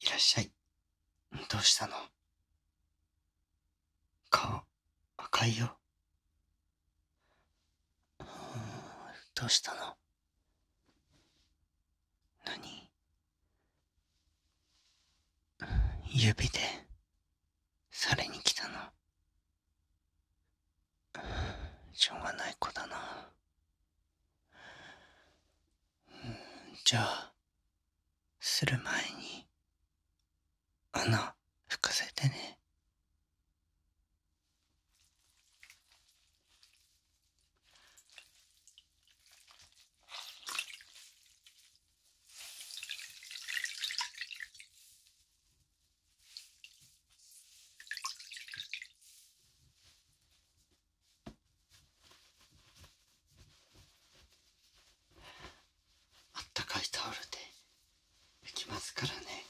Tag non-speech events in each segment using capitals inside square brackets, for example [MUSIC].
いらっしゃい。どうしたの顔、赤いよ。どうしたの何指で、されに来たの。しょうがない子だな。じゃあ、する前に、穴、拭かせてね。あったかいタオルで拭きますからね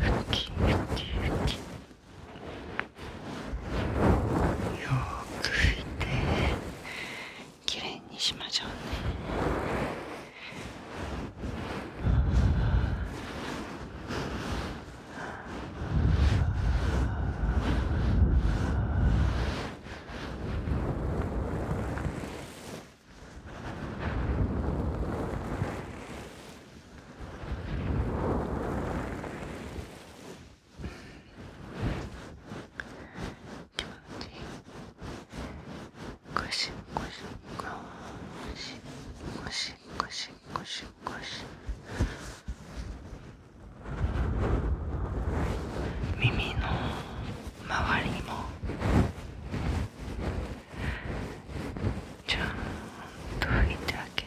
ふきふきふき。よく拭いてきれいにしましょうね気持ちいい耳の周りもちゃんと拭いてあげ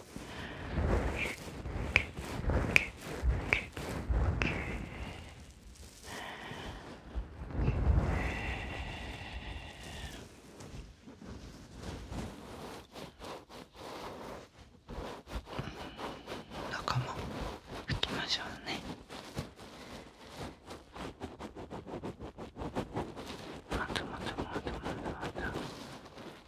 中も拭きましょうねまたまたまたまたまた。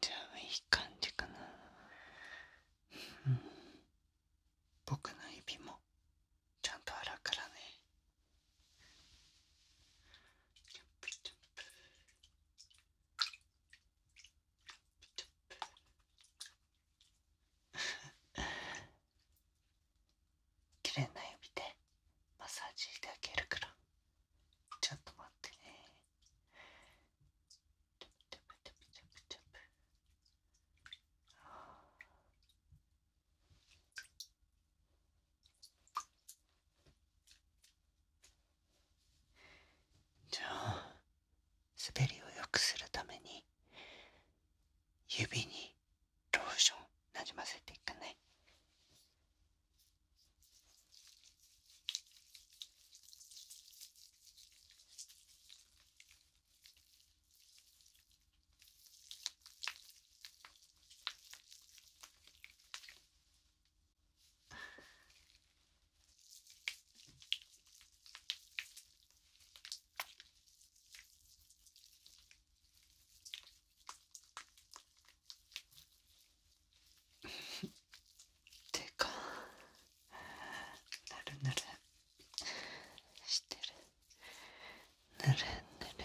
じゃあいい感じかな、うん、僕の指もちゃんと洗うからねチャンプチャンプ綺麗な指でマッサージしてあげるからちょっと待ってねチャプチャプチャプチャプチャプじゃあ滑りを良くするために指にローションなじませていかくね。てかなるなるしてるなるなるなる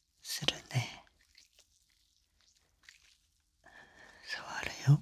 するね触るよ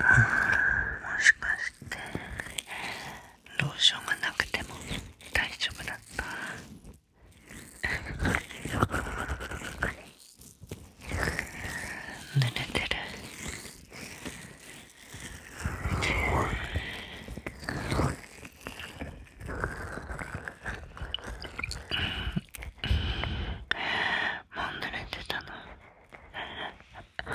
あもしかしてローションがなくても大丈夫だった濡れてるもう濡れてたのあ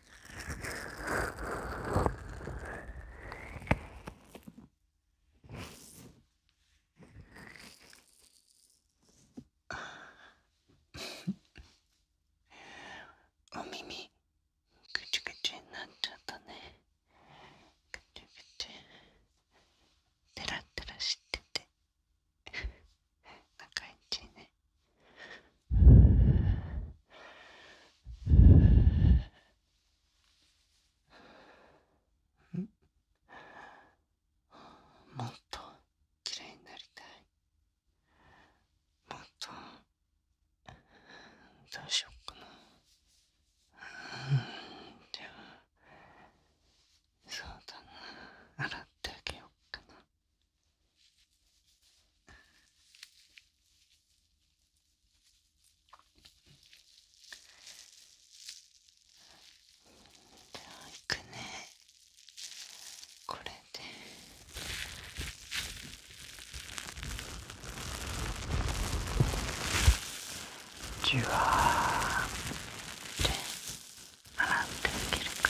お耳ぐちゅぐちゅになっちゃったねぐちゅぐちゅテラテラしてて仲いいねうん。もっと綺麗になりたい。もっと、どうしようかな。うん、では、そうだな。洗ってあげようかな。じゃあいくねこれで。じゅわーって洗ってあげるか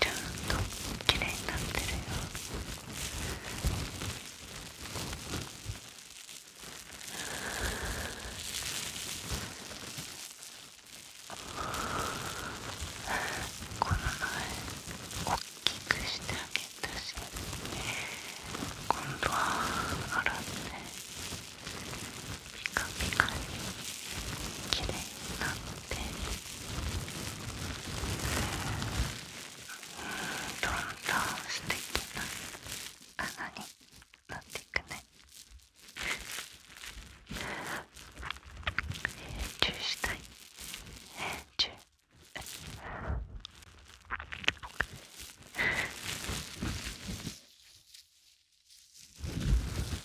ちゃんと綺麗になってるよこの前おっきくしてあげたし今度は洗ってピカピカに綺麗になってってどんどん素敵な穴になっていくねえ永住したいえ永住あ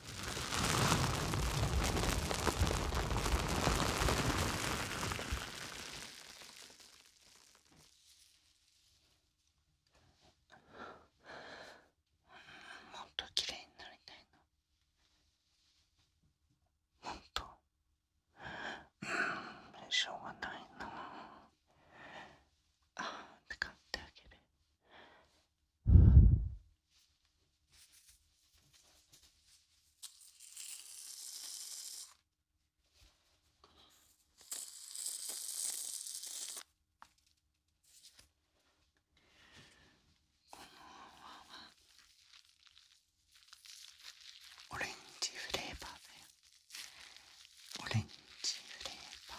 もっと綺麗になりたいなもっとうんしょうがないなああって買ってあげるこの泡はオレンジフレーバーだよオレンジフレーバー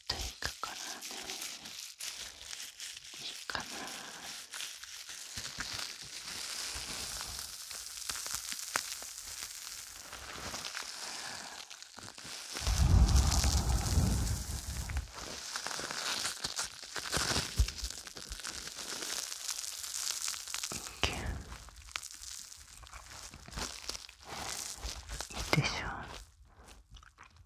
っいくからねいいかないいでしょう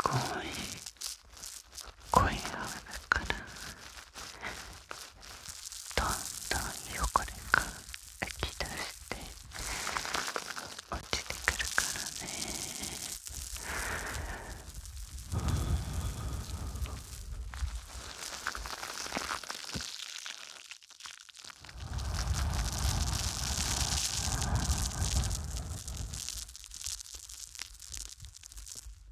すごい声がだからどんどん汚れが浮き出して落ちてくるからねうん。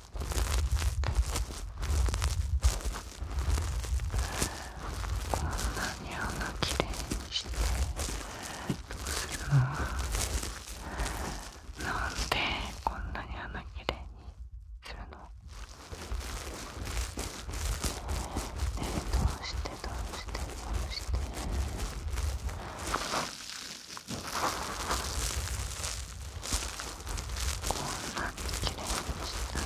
こんなに穴きれいにしてどうするのなんでこんなに穴きれいにするのねえどうしてどうしてどうしてこんなに綺麗にした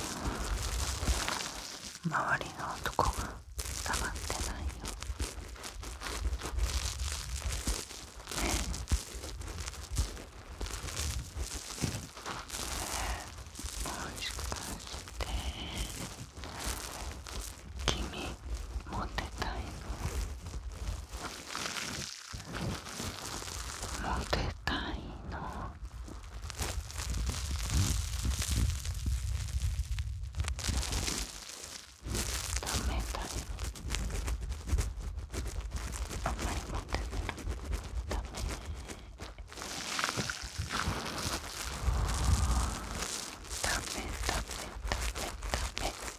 ら周りの男がたまってないよねえもしかして君モテたいのモテたいのダメだよあんまりモテたらダメダメダメダメダメ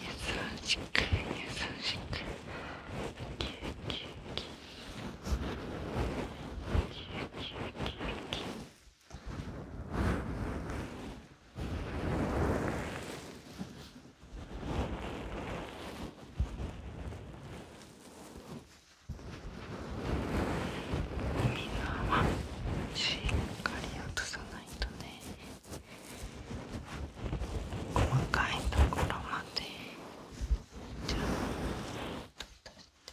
優しく優しく。はしっかり落とさないとね細かいところまでちゃんと出して。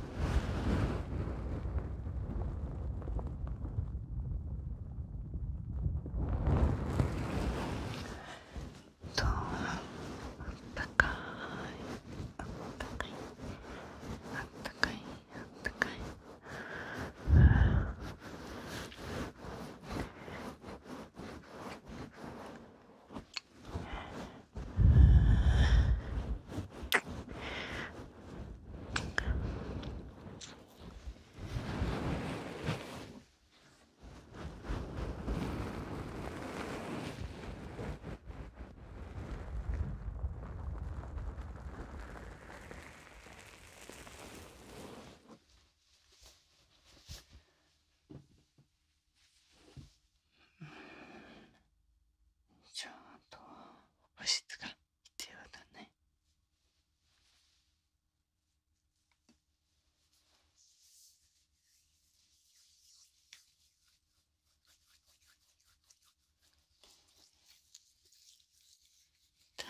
とあったかいあったかいあったかいあったかいあん。ちゃっと保湿がではだね大好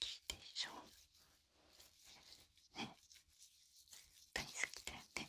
きでしょね大好きだよね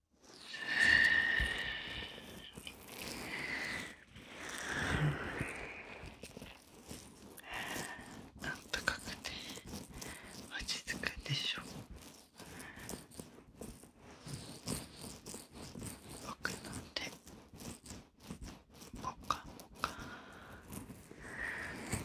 なんとかくで、落ち着くんでしょう僕なんて。もかもか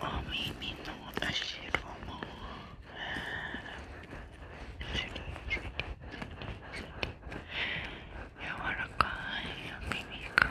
お耳の足ロも。らかい耳が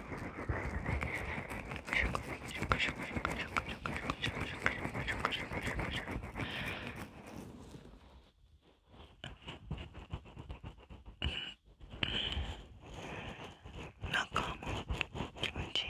なんかもう気持ちいい。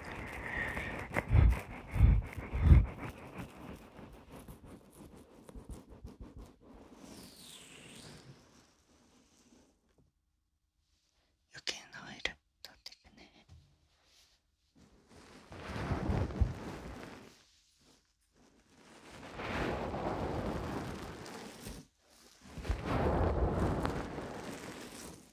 余計なオイル飛んでいくね。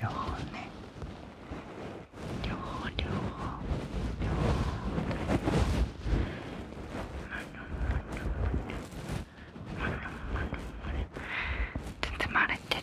両方ね両方両方両方全然回れてる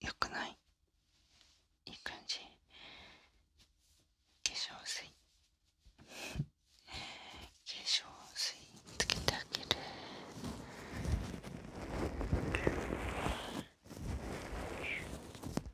よ [LAUGHS] くないいい感じ化粧水 [LAUGHS] 化粧水つけてあげる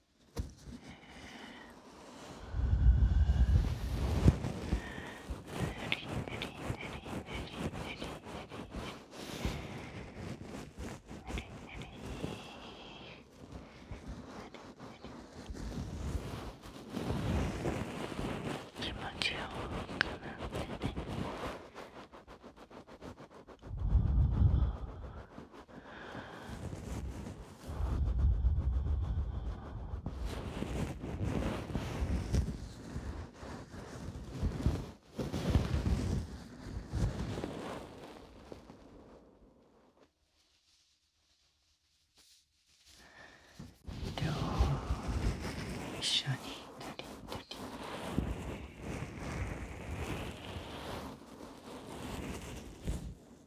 気持ちよくなってね。両方一緒に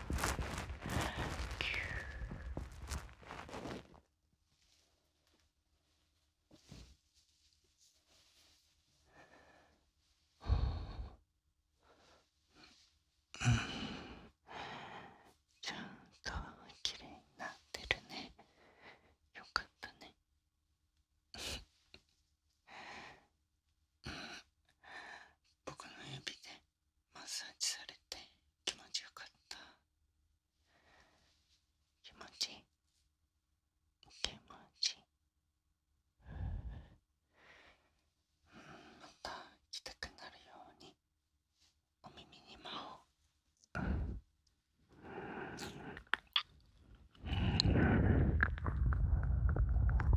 キュ。ううん。ん。んちゃとになっってるね。ね。よかた僕の指でマッサージされて気持ちよかった気持ちいい気持ちいいまた来たくなるようにお耳にまお。ううん。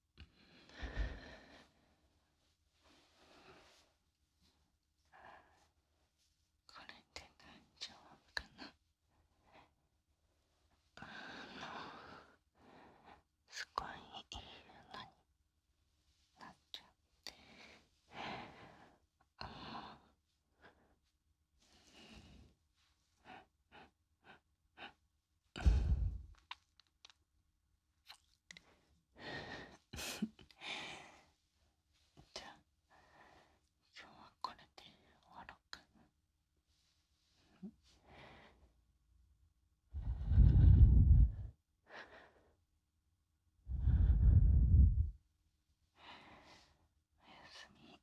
これで大丈夫かなあのすごいいいのになっちゃってあの。じゃあ今日はこれで終わろうか。おやすみ。